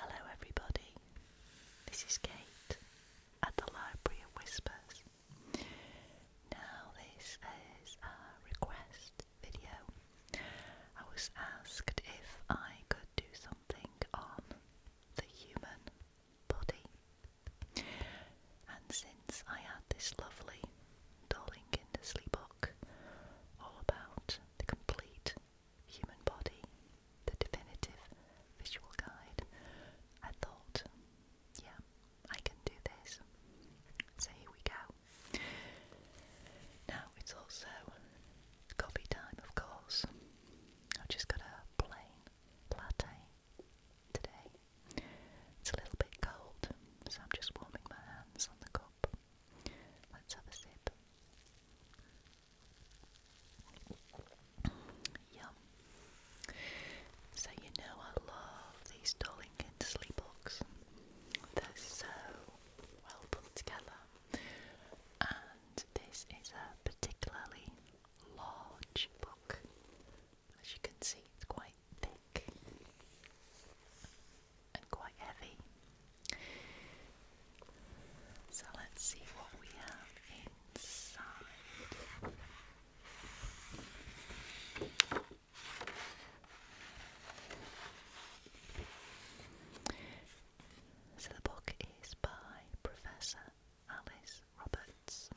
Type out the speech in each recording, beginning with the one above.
Hello, everybody. This is Kate at the Library of Whispers. Now, this is a request video. I was asked if I could do something on the human body, and since I had this lovely Darling Kindersley book all about the complete Human Body, the definitive visual guide, I thought, yeah, I can do this. So here we go. Now it's also coffee time, of course. I've just got a plain latte today. It's a little bit cold, so I'm just warming my hands on the cup. Let's have a sip. Yum. So you know I love these Darlington sleepbox. They're so well put together. And this is a particularly large book. As you can see, it's quite thick and quite heavy. So let's see what we have inside. So the book is by Professor Alice Roberts.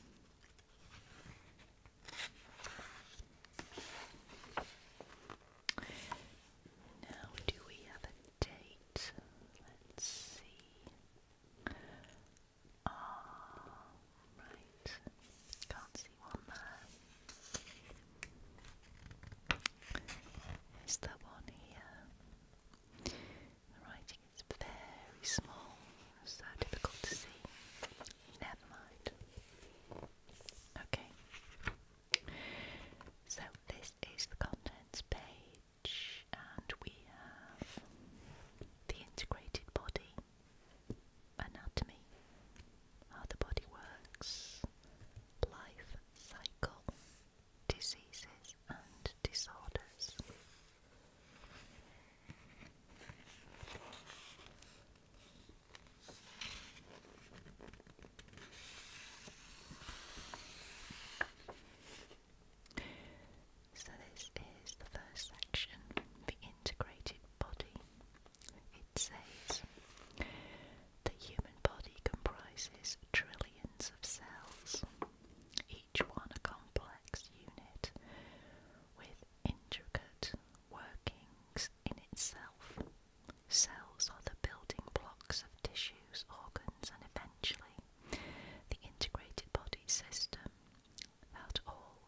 Now, do we have a date? Let's see. Ah, right. Can't see one there. Is there one here? The writing is very small, so difficult to see. Never mind. Okay. So, is the contents page, and we have the integrated body, anatomy, how the body works, life cycle, diseases and disorders. So, this is the first section the integrated body. It says the human body comprises trillions of cells, each one a complex unit with intricate workings in itself. Cells are the building blocks of tissues, organs, and eventually the integrated body system that all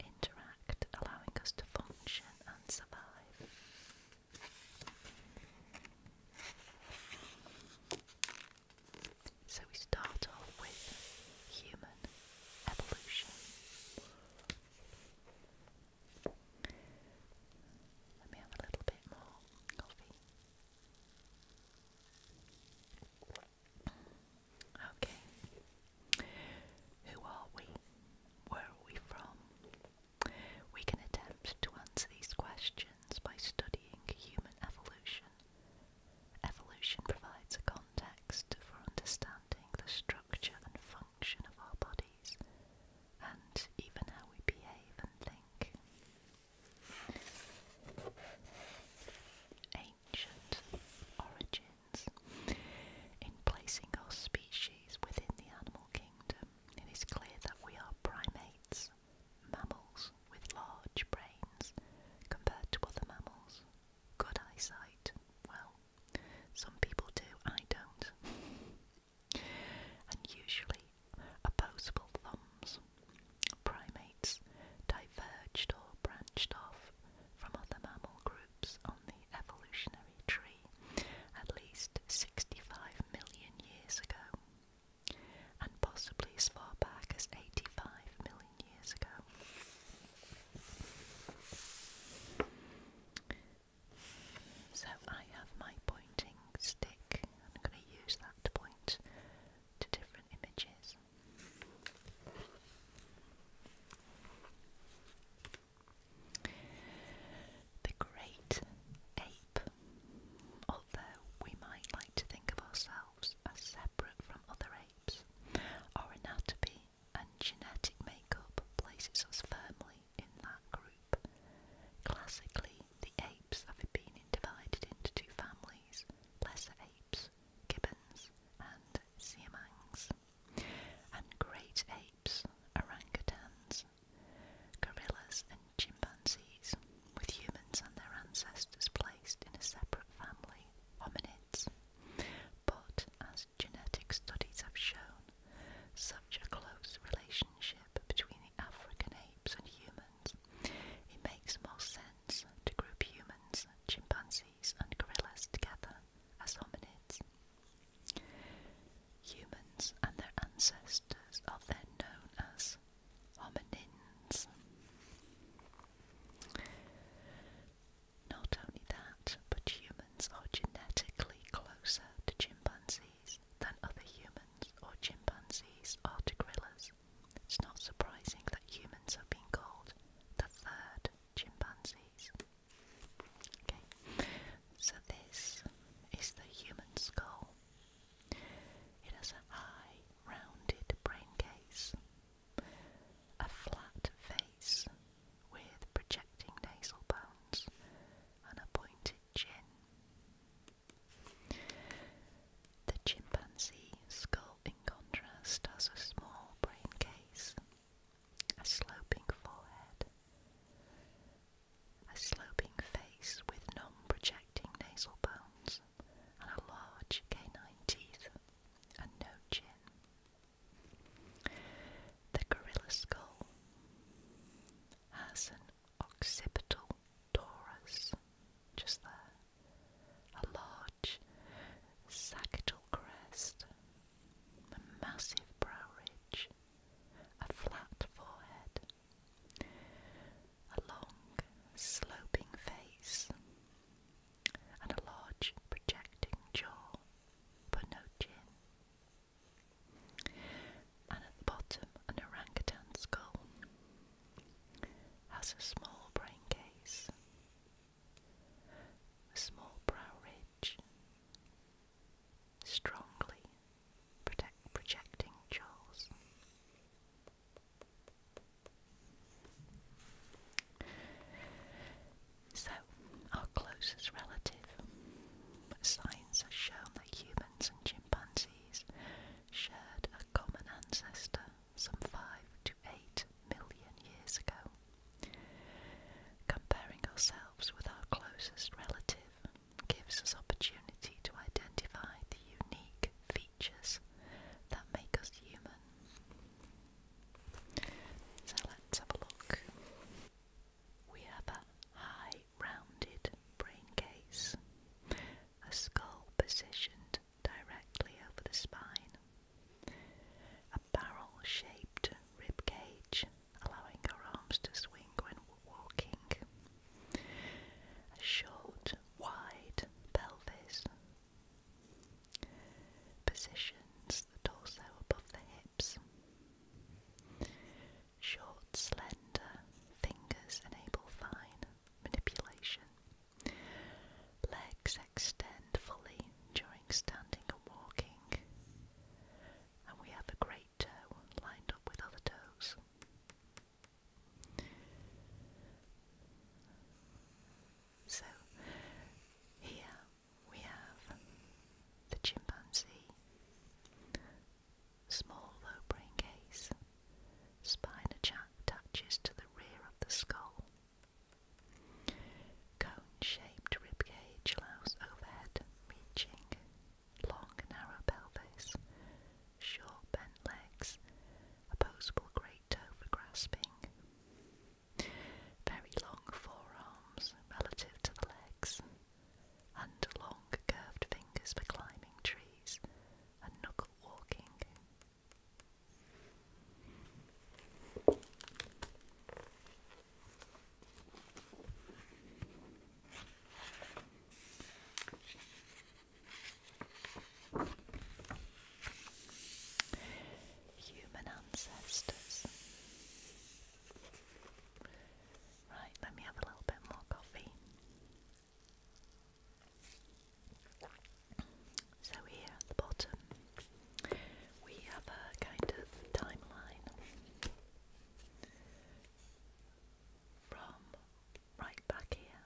interact, allowing us to function and survive. So we start off with human evolution. Let me have a little bit more coffee. Okay. Who are we? Where are we from? We can attempt to answer these questions by studying human evolution. Evolution provides a context for understanding the structure and function of our bodies and even how we behave and think. Ancient origins. In placing our species within the animal kingdom, it is clear that we are primates, mammals with large brains compared to other mammals. Good eyesight. Well, some people do, I don't. and usually opposable thumbs. Primates diverged or branched off from other mammal groups on the evolutionary tree at least 65 million years ago, and possibly as far back as 85 million years ago. So I have my pointing stick. I'm going to use that to point to different images. The great ape. Although we might like to think of ourselves as separate from other apes, our anatomy and genetic makeup places us firmly in that group. Classically, the apes have been divided into two families, lesser apes, gibbons, and siamangs, and great apes, orangutans, gorillas, and chimpanzees, with humans and their ancestors placed in a separate family, hominids. But as genetic studies have shown, such a close relationship between African apes and humans, it makes more sense to group humans, chimpanzees, and gorillas together as hominids. Humans and their ancestors are then known as hominins. Not only that, but humans are genetically closer to chimpanzees than other humans or chimpanzees are gorillas. It's not surprising that humans have been called the third chimpanzees. Okay, so this is the human skull. It has a high, rounded brain case, a flat face with projecting nasal bones, and a pointed chin. The chimpanzee skull, in contrast, has a small brain case, a sloping forehead, a sloping face with non-projecting nasal bones, and a large canine teeth, and no chin. The gorilla skull has an occipital torus, just there, a large sagittal crest, a massive brow ridge, a flat forehead, a long sloping face, and a large projecting jaw, but no chin. And at the bottom, an orangutan skull has a small brain case, a small brow ridge, strongly projecting jaws. So, our closest relative. Science has shown that humans elephants and chimpanzees shared a common ancestor some 5 to 8 million years ago. Comparing ourselves with our closest relative gives us opportunity to identify the unique features that make us human. So let's have a look. We have a high rounded braincase, a skull positioned directly over the spine, a barrel shaped rib cage allowing our arms to swing when walking, a short, wide pelvis. Positions the torso above the hips. Short, slender fingers enable fine manipulation. Legs extend fully during standing and walking. And we have a great toe lined up with other toes. So here we have the chimpanzee Small low-brain case. Spina jack touches to the rear of the skull. Cone-shaped rib cage allows overhead reaching. Long narrow pelvis. Short bent legs. Opposable great toe for grasping. Very long forearms relative to the legs and long curved fingers for climbing trees and knuckle walking. Human ancestors. Right, let me have a little bit more coffee. So here at the bottom we have a kind of timeline from right back here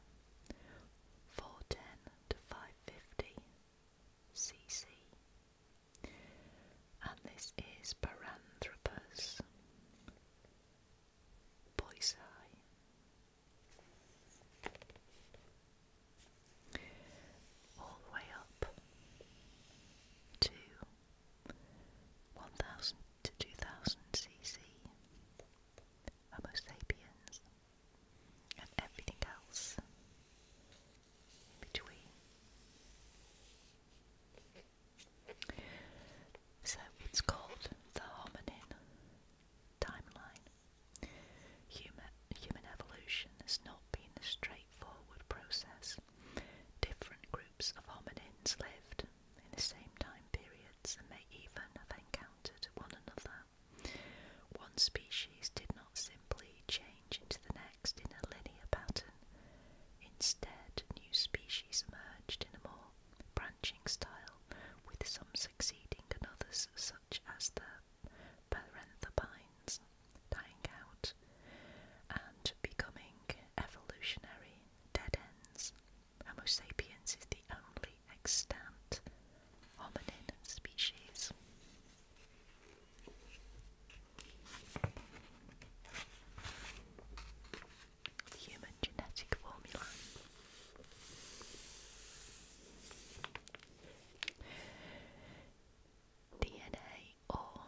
410 to 550 cc and this is Paranthropus boy's eye. All the way up to 1000 to 2000 cc. Homo sapiens and everything else in between. So it's called the hominin timeline. Human, human evolution has not been a straightforward process. Different groups of hominins lived in the same time periods and may even have encountered one another. One species did not simply change into the next in a linear pattern. Instead, new species emerged in a more branching style, with some succeeding and others, such as the parenthopines, dying out and becoming evolutionary dead ends. Homo sapiens is the only extant hominin species human genetic formula. DNA or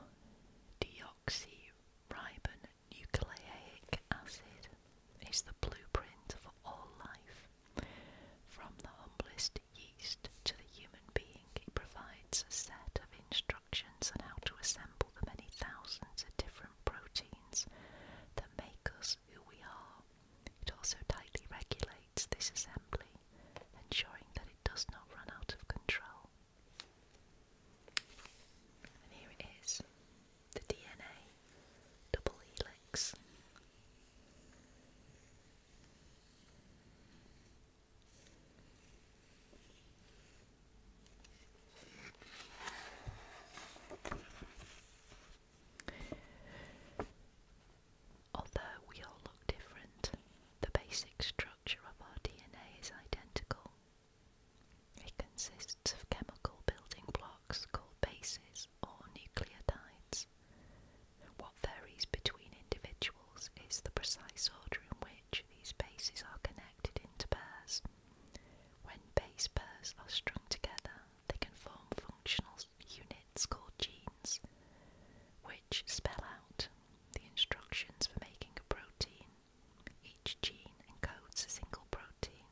deoxyribonucleic acid is the blueprint for all life. From the humblest yeast to the human being, it provides a set of instructions on how to assemble the many thousands of different proteins that make us who we are. It also tightly regulates this assembly, ensuring that it does not run out of control. And here it is the DNA double helix. Although we all look different, the basic structure of our DNA is identical. It consists of chemical building blocks called bases or nucleotides. What varies between individuals is the precise order in which these bases are connected into pairs. When base pairs are strung together, they can form functional units called genes, which spell out the instructions for making a protein. Each gene encodes a single protein,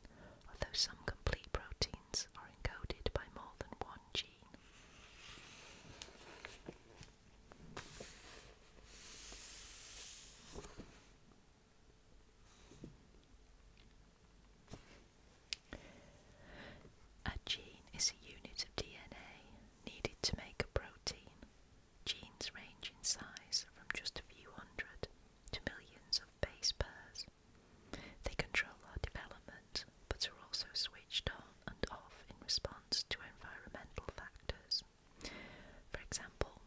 although some complete proteins are encoded by more than one gene. A gene is a unit of DNA needed to make a protein. Genes range in size from just a few hundred to millions of base pairs. They control our development but are also switched on and off in response to environmental factors. For example,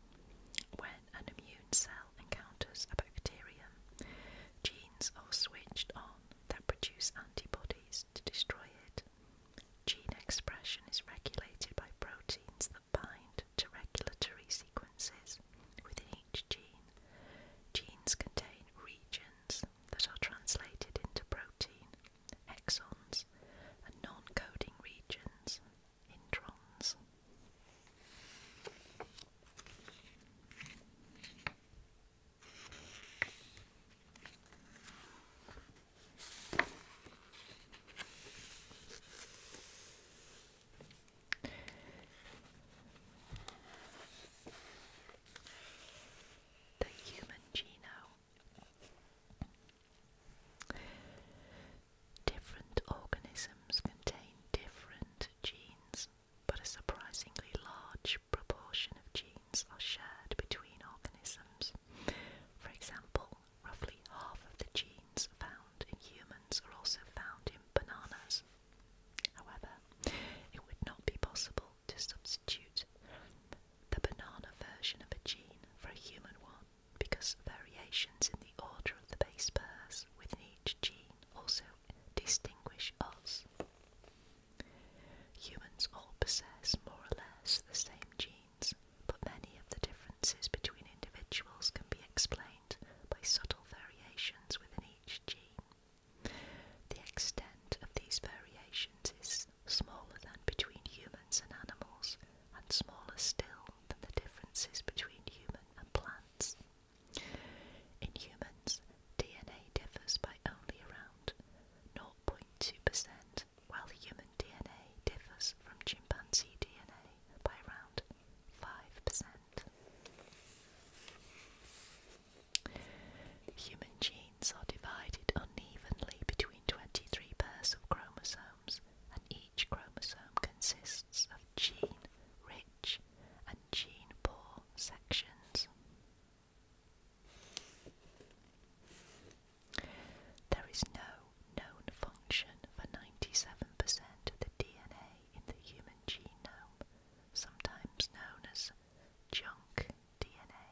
when an immune cell encounters a bacterium, genes are switched on that produce antibodies to destroy it. Gene expression is regulated by proteins that bind to regulatory sequences within each gene. Genes contain regions that are translated into protein, exons, and non coding regions introns. The human genome. Different organisms contain different genes, but a surprisingly large proportion of genes are shared between organisms. For example, roughly half of the genes found in humans are also found in bananas. However, it would not be possible to substitute the banana version of a gene for a human one because variations in the order of the base pairs within each gene also distinguish us. Humans all possess more or less the same genes, but many of the differences between individuals can be explained by subtle variations within each gene. The extent of these variations is smaller than between humans and animals, and smaller still than the differences between human and plants. In humans, DNA differs by only around 0.2%, while human DNA differs from chimpanzee DNA by around 5%. Human genes are divided unevenly between 23 pairs of chromosomes, and each chromosome consists of gene-rich and gene-poor sections. There is no known function for 97% of the DNA in the human genome, sometimes known as junk DNA.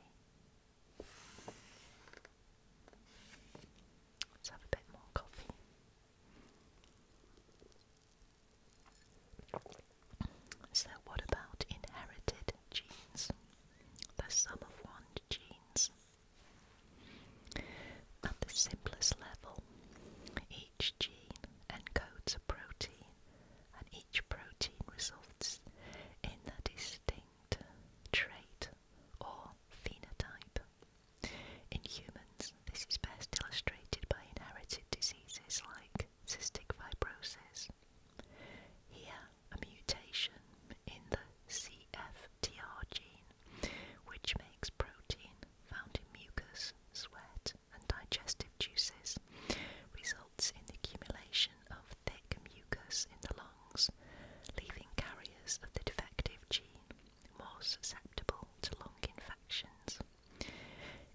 Let's have a bit more coffee. So, what about inherited genes? The sum of one genes. At the simplest level, each gene encodes a protein, and each protein results in a distinct trait or phenotype. In humans, this is best illustrated by inherited diseases like cystic fibrosis. Here, a mutation in the CFTR gene, which makes protein found in mucus, sweat, and digestive juices, results in the accumulation of thick mucus in the lungs, leaving carriers of the defective gene more susceptible to lung infections.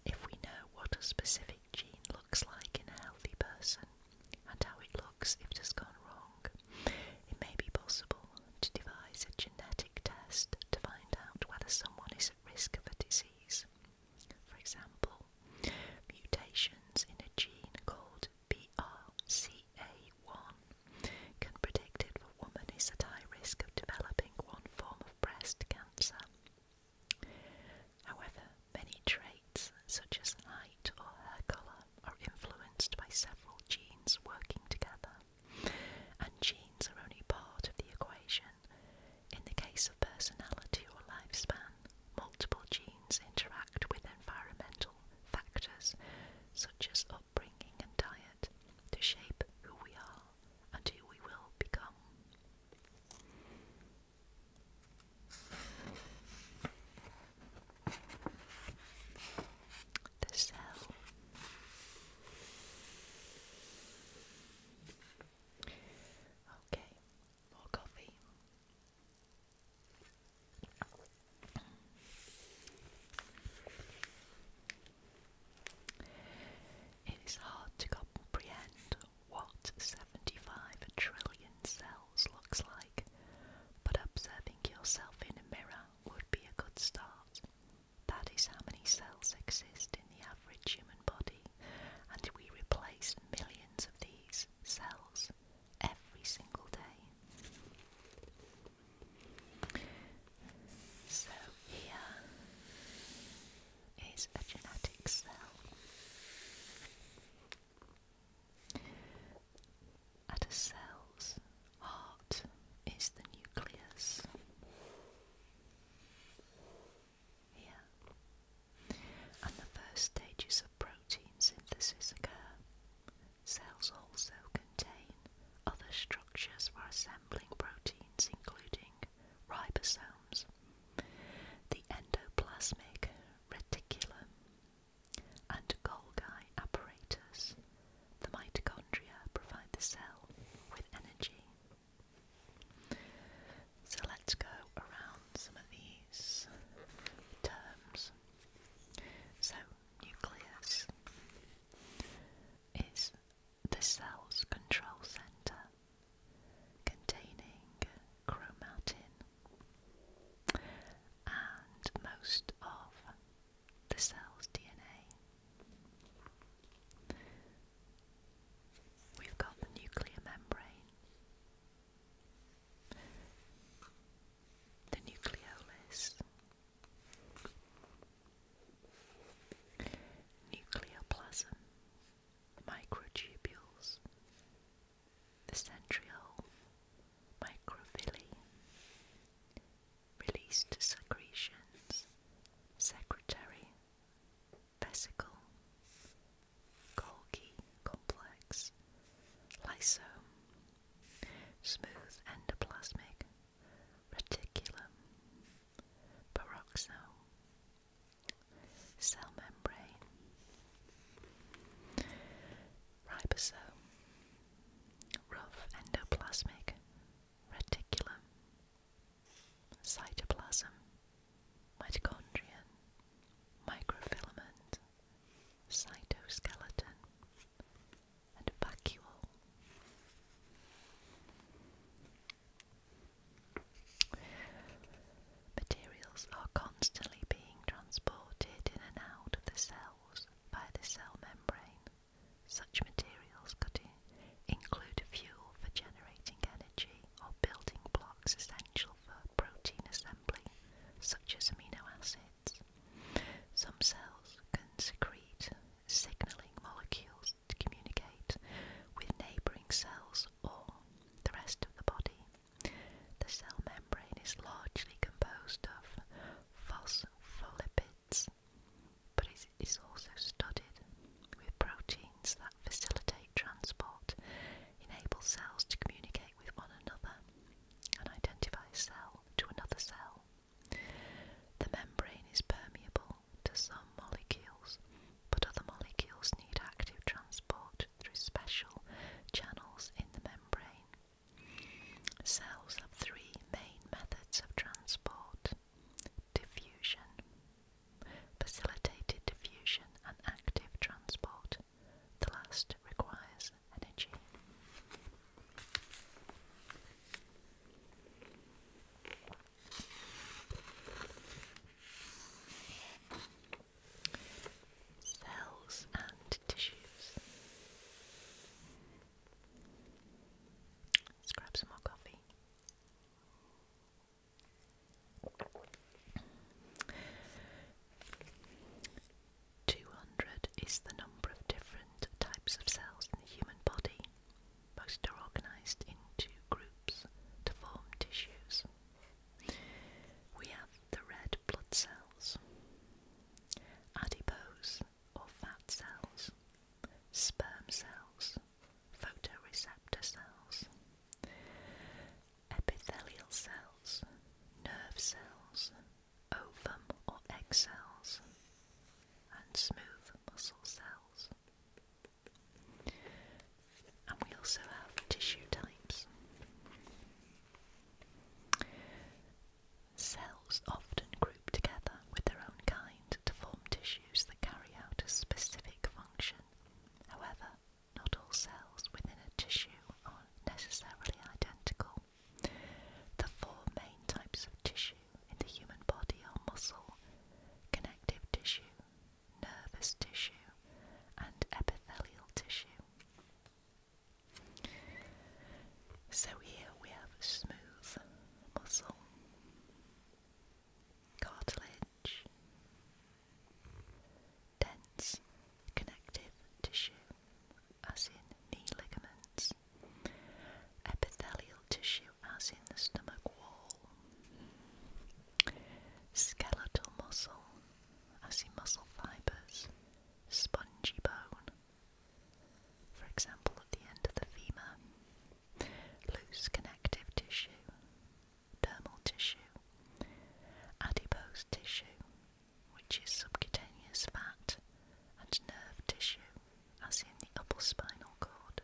If we know what a specific gene looks like in a healthy person and how it looks if it has gone wrong, it may be possible to devise a genetic test to find out whether someone is at risk of a disease. For example, mutations in a gene called BRCA 1 can predict if a woman is at high risk of developing one form of breast cancer. However, many traits, such as height or hair colour, are influenced by several genes working together, and genes are only part of the equation. In the case of personality or lifespan, multiple genes interact with environmental factors such as upbringing and diet to shape who we are and who we will become. The cell. Okay, more coffee. It is hard to comprehend what 75 trillion cells looks like, but observing yourself in a mirror would be a good start. That is how many cells exist in the average human body, and we replace millions of these cells every single day. So here is a genetic cell. At a cell's heart is the nucleus. Here. And the first stages of protein synthesis occur. Cells also can other structures for assembling proteins, including ribosomes, the endoplasmic reticulum, and Golgi apparatus. The mitochondria provide the cell with energy. So let's go around some of these terms. So, nucleus is the cell's control center containing chromatin and most of the cell's DNA. We've got the nuclear membrane, the nucleolus, Nucleoplasm, microtubules, the centriole, microvilli, released secretions, secretory vesicle, Golgi complex, lysosome, smooth endoplasmic, reticulum, peroxosome, cell membrane, ribosome, rough endoplasmic, reticulum, cytoplasm, mitochondrion, microfilament, cytoskeleton, and vacuole. Materials are constantly being transported in and out of the cells by the cell membrane. Such materials could include fuel for generating energy or building blocks essential for protein assembly, such as amino acids. Some cells can secrete signaling molecules to communicate with neighbouring cells or the rest of the body. The cell membrane is largely composed of phospholipids, but is also studded with proteins that facilitate transport, enable cells to communicate with one another, and identify a cell to another cell. The membrane is permeable to some molecules, but other molecules need active transport through special channels in the membrane. Cells have three main methods of transport diffusion, facilitated diffusion, and active transport. The last requires energy. Cells and tissues. Let's grab some more coffee. Two hundred is the number of different types of cells in the human body. Most are organized into groups to form tissues. We have the red blood cells, adipose or fat cells, sperm cells, photoreceptor cells, epithelial cells, nerve cells, ovum or egg cells, and smooth muscle cells. And we also have tissue types. Cells often group together with their own kind to form tissues that carry out a specific function. However, not all cells within a tissue are necessarily identical. The four main types of tissue in the human body are muscle, connective tissue, nervous tissue, and epithelial tissue. So here we have smooth muscle, cartilage, dense connective tissue, as in knee ligaments, Epithelial tissue as in the stomach wall. Skeletal muscle as see muscle fibres. Spongy bone, for example at the end of the femur. Loose connective tissue. Dermal tissue. Adipose tissue, which is subcutaneous fat. And nerve tissue, as in the upper spinal cord.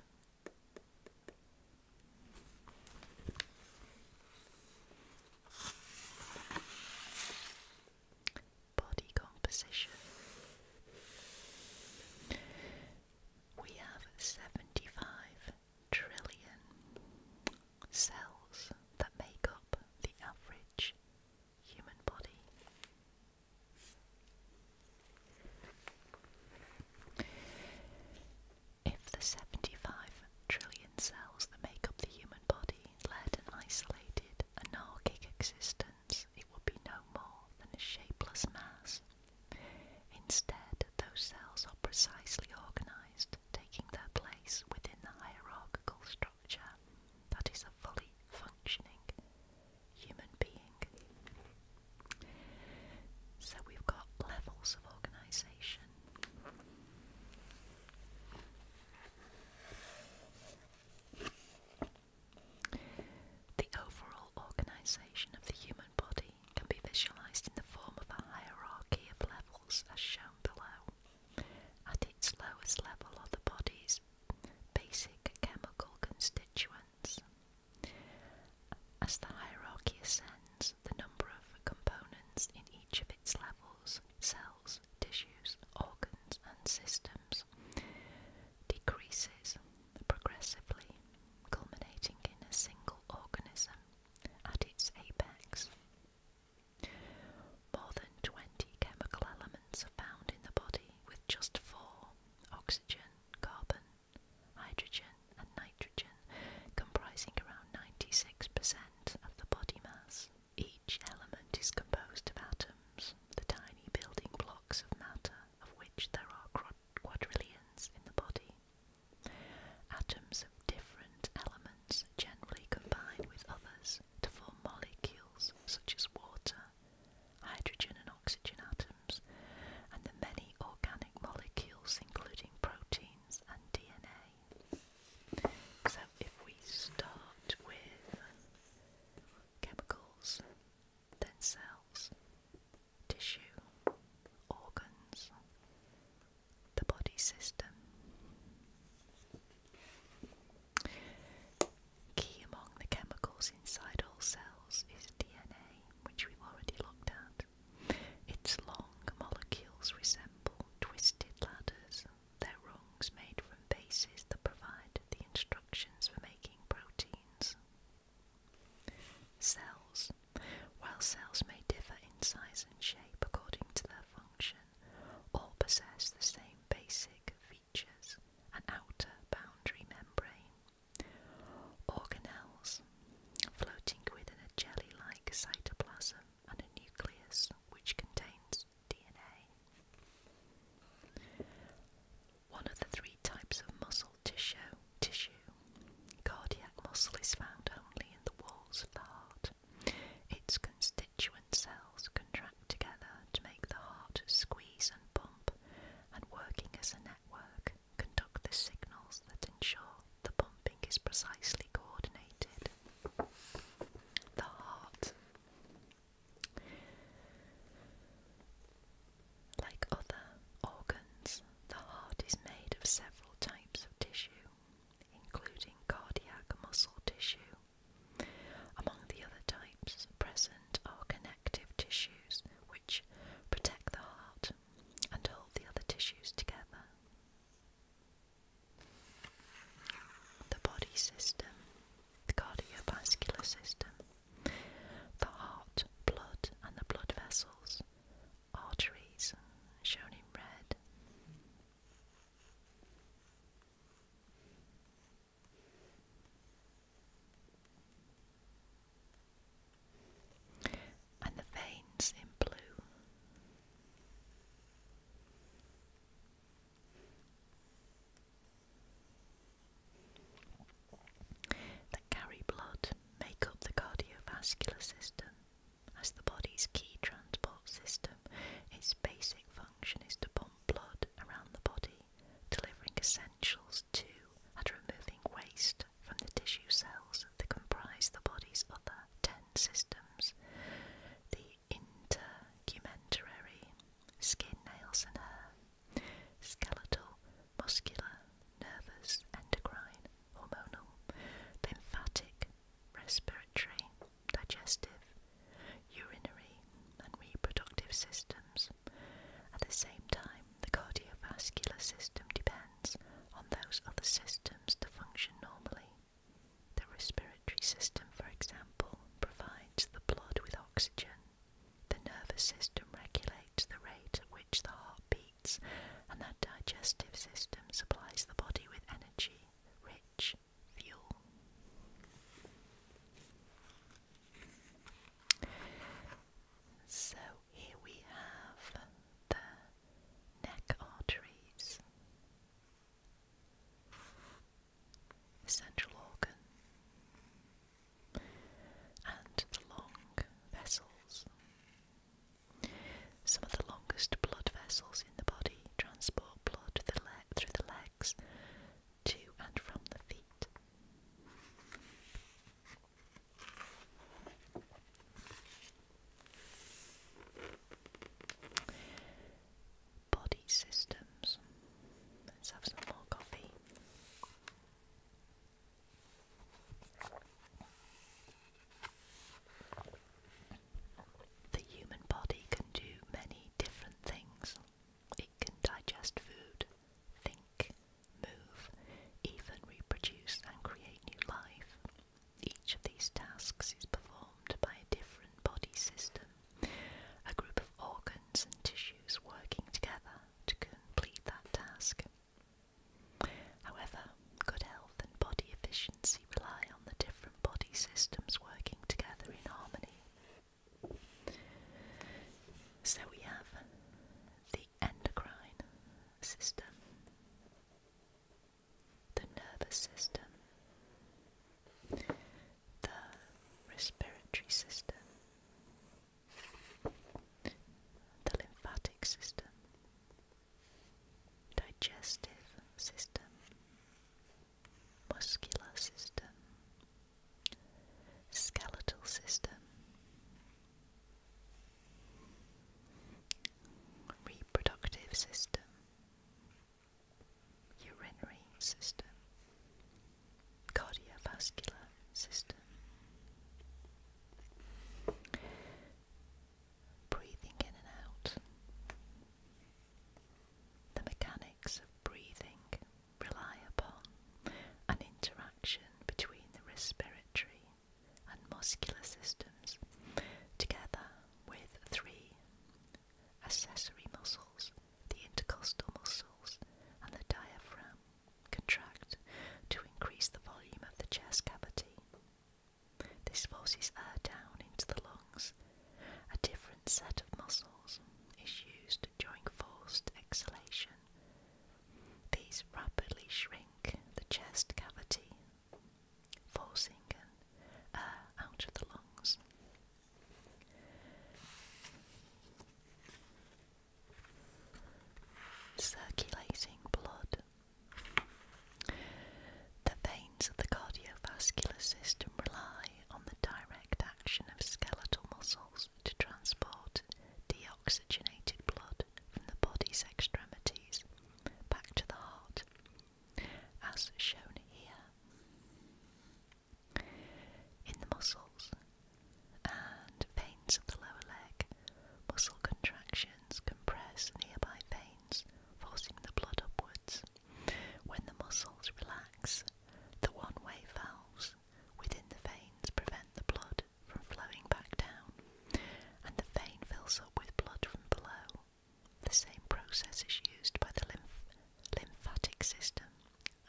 Body composition. We have 75 trillion cells that make up the average human body. If the 75 trillion cells that make up the human body led an isolated, anarchic existence, it would be no more than a shapeless mass. Instead, those cells are precisely organized, taking their place within the hierarchical structure that is a fully functioning human being. So we've got levels of organisation. The overall organisation of the human body can be visualised in the form of a hierarchy of levels as shown below. At its lowest level are the body's basic chemical constituents. As the hierarchy ascends, the number of components in each of its levels, cells, tissues, organs, and systems, decreases progressively, culminating in a single organism at its apex. More than 20 chemical elements are found in the body, with just four oxygen, carbon, hydrogen, and nitrogen, comprising around 96% of the body mass. Each element is composed of atoms, the tiny building blocks of matter, of which there are quadrillions in the body. Atoms of different elements generally combine with others to form molecules such as water, hydrogen and oxygen atoms, and the many organic molecules, including proteins and DNA. So, if we start with chemicals, then cells, tissue, organs, the body system. Key among the chemicals inside all cells is DNA which we've already looked at. Its long molecules resemble twisted ladders, their rungs made from bases that provide the instructions for making proteins. Cells. While cells may differ in size and shape according to their function, all possess the same basic features an outer boundary membrane Organelles, floating within a jelly like cytoplasm and a nucleus which contains DNA. One of the three types of muscle tissue, tissue, cardiac muscle is found only in the walls of the heart. Its constituent cells contract together to make the heart squeeze and pump, and working as a network, conduct the signals that ensure the pumping is precisely coordinated. The heart. Like other organs, the heart is made of several types of tissue, including cardiac muscle tissue. Among the other types present are connective connective tissues which protect the heart and hold the other tissues together. The body system, the cardiovascular system, the heart, blood, and the blood vessels, arteries, shown in red and the veins in blue. That carry blood make up the cardiovascular system as the body's key transport system. Its basic function is to pump blood around the body delivering essentials to and removing waste from the tissue cells that comprise the body's other ten systems the intergumentary, skin, nails, and hair, skeletal, muscular, nervous, endocrine, hormonal, lymphatic, respiratory, digestive, urinary, and reproductive systems. At the same time, the cardiovascular system depends on those other systems to function normally. The respiratory system, for example, provides the blood with oxygen. The nervous system regulates the rate at which the heart beats, and the digestive system supplies the body with energy rich fuel. So, here we have the neck arteries, the central organ, and the long vessels. Some of the longest blood vessels in the body transport blood through the, le through the legs to and from the feet. Body systems. Let's have some more coffee. The human body can do many different things. It can digest food, think, move, even reproduce and create new life. Each of these tasks is performed by a different body system, a group of organs and tissues working together to complete that task. However, good health and body efficiency rely on the different body systems working together in harmony. So we have the endocrine system, the nervous system, the respiratory system, the lymphatic system, digestive system, muscular system, skeletal system, reproductive system, urinary system, cardiovascular system, breathing in and out, the mechanics of breathing rely upon an interaction between the respiratory and muscular systems, together with three accessory muscles, the intercostal muscles and the diaphragm, contract to increase the volume of the chest cavity. This forces air down into the lungs. A different set of muscles is used during forced exhalation these rapidly shrink the chest cavity, forcing an air out of the lungs. Circulating blood. The veins of the cardiovascular system rely on the direct action of skeletal muscles to transport deoxygenated blood from the body's extremities back to the heart, as shown here. In the muscles and veins of the lower leg, muscle contractions compress nearby veins, forcing the blood upwards. When the muscles relax, the one way valves within the veins prevent the blood from flowing back down, and the vein fills up with blood from below. The same process is used by the lymphatic system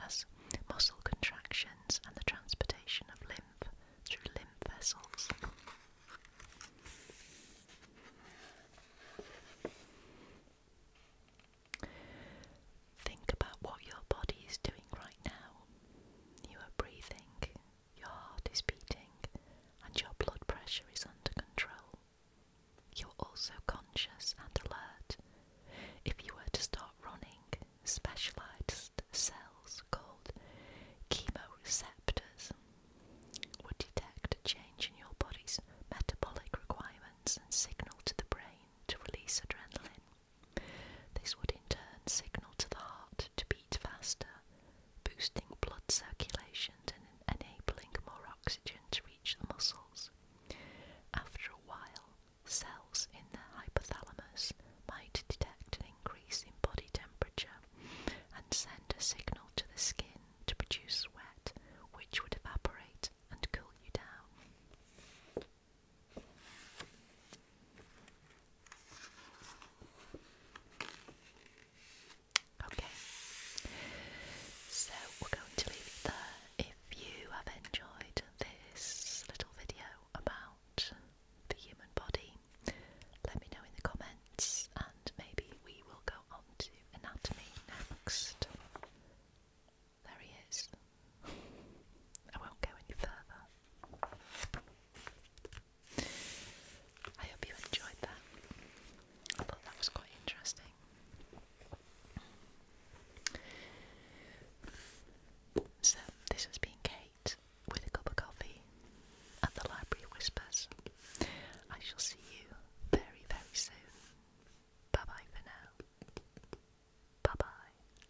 as muscle contractions and the transportation of lymph through lymph vessels. Think about what your body is doing right now you are breathing, your heart is beating, and your blood pressure is under control. You're also conscious and alert. If you were to start running, specialized cells called chemoreceptors would detect a change in your body's metabolic requirements and signal to the brain to release adrenaline. This would in turn signal to the heart to beat faster, boosting blood circulation and enabling more oxygen to reach the muscles. After a while, cells in the hypothalamus might detect an increase in body temperature and send a signal to the skin to produce sweat, which would evaporate and cool you down. Okay, so we're going to leave If you have enjoyed this little video about the human body, let me know in the comments, and maybe we will go on to anatomy next. There he is. I won't go any further. I hope you enjoyed that. I thought that was quite interesting. So, this has been Kate with a cup of coffee at the Library Whispers. I shall see you very, very soon. Bye bye for now. Bye bye.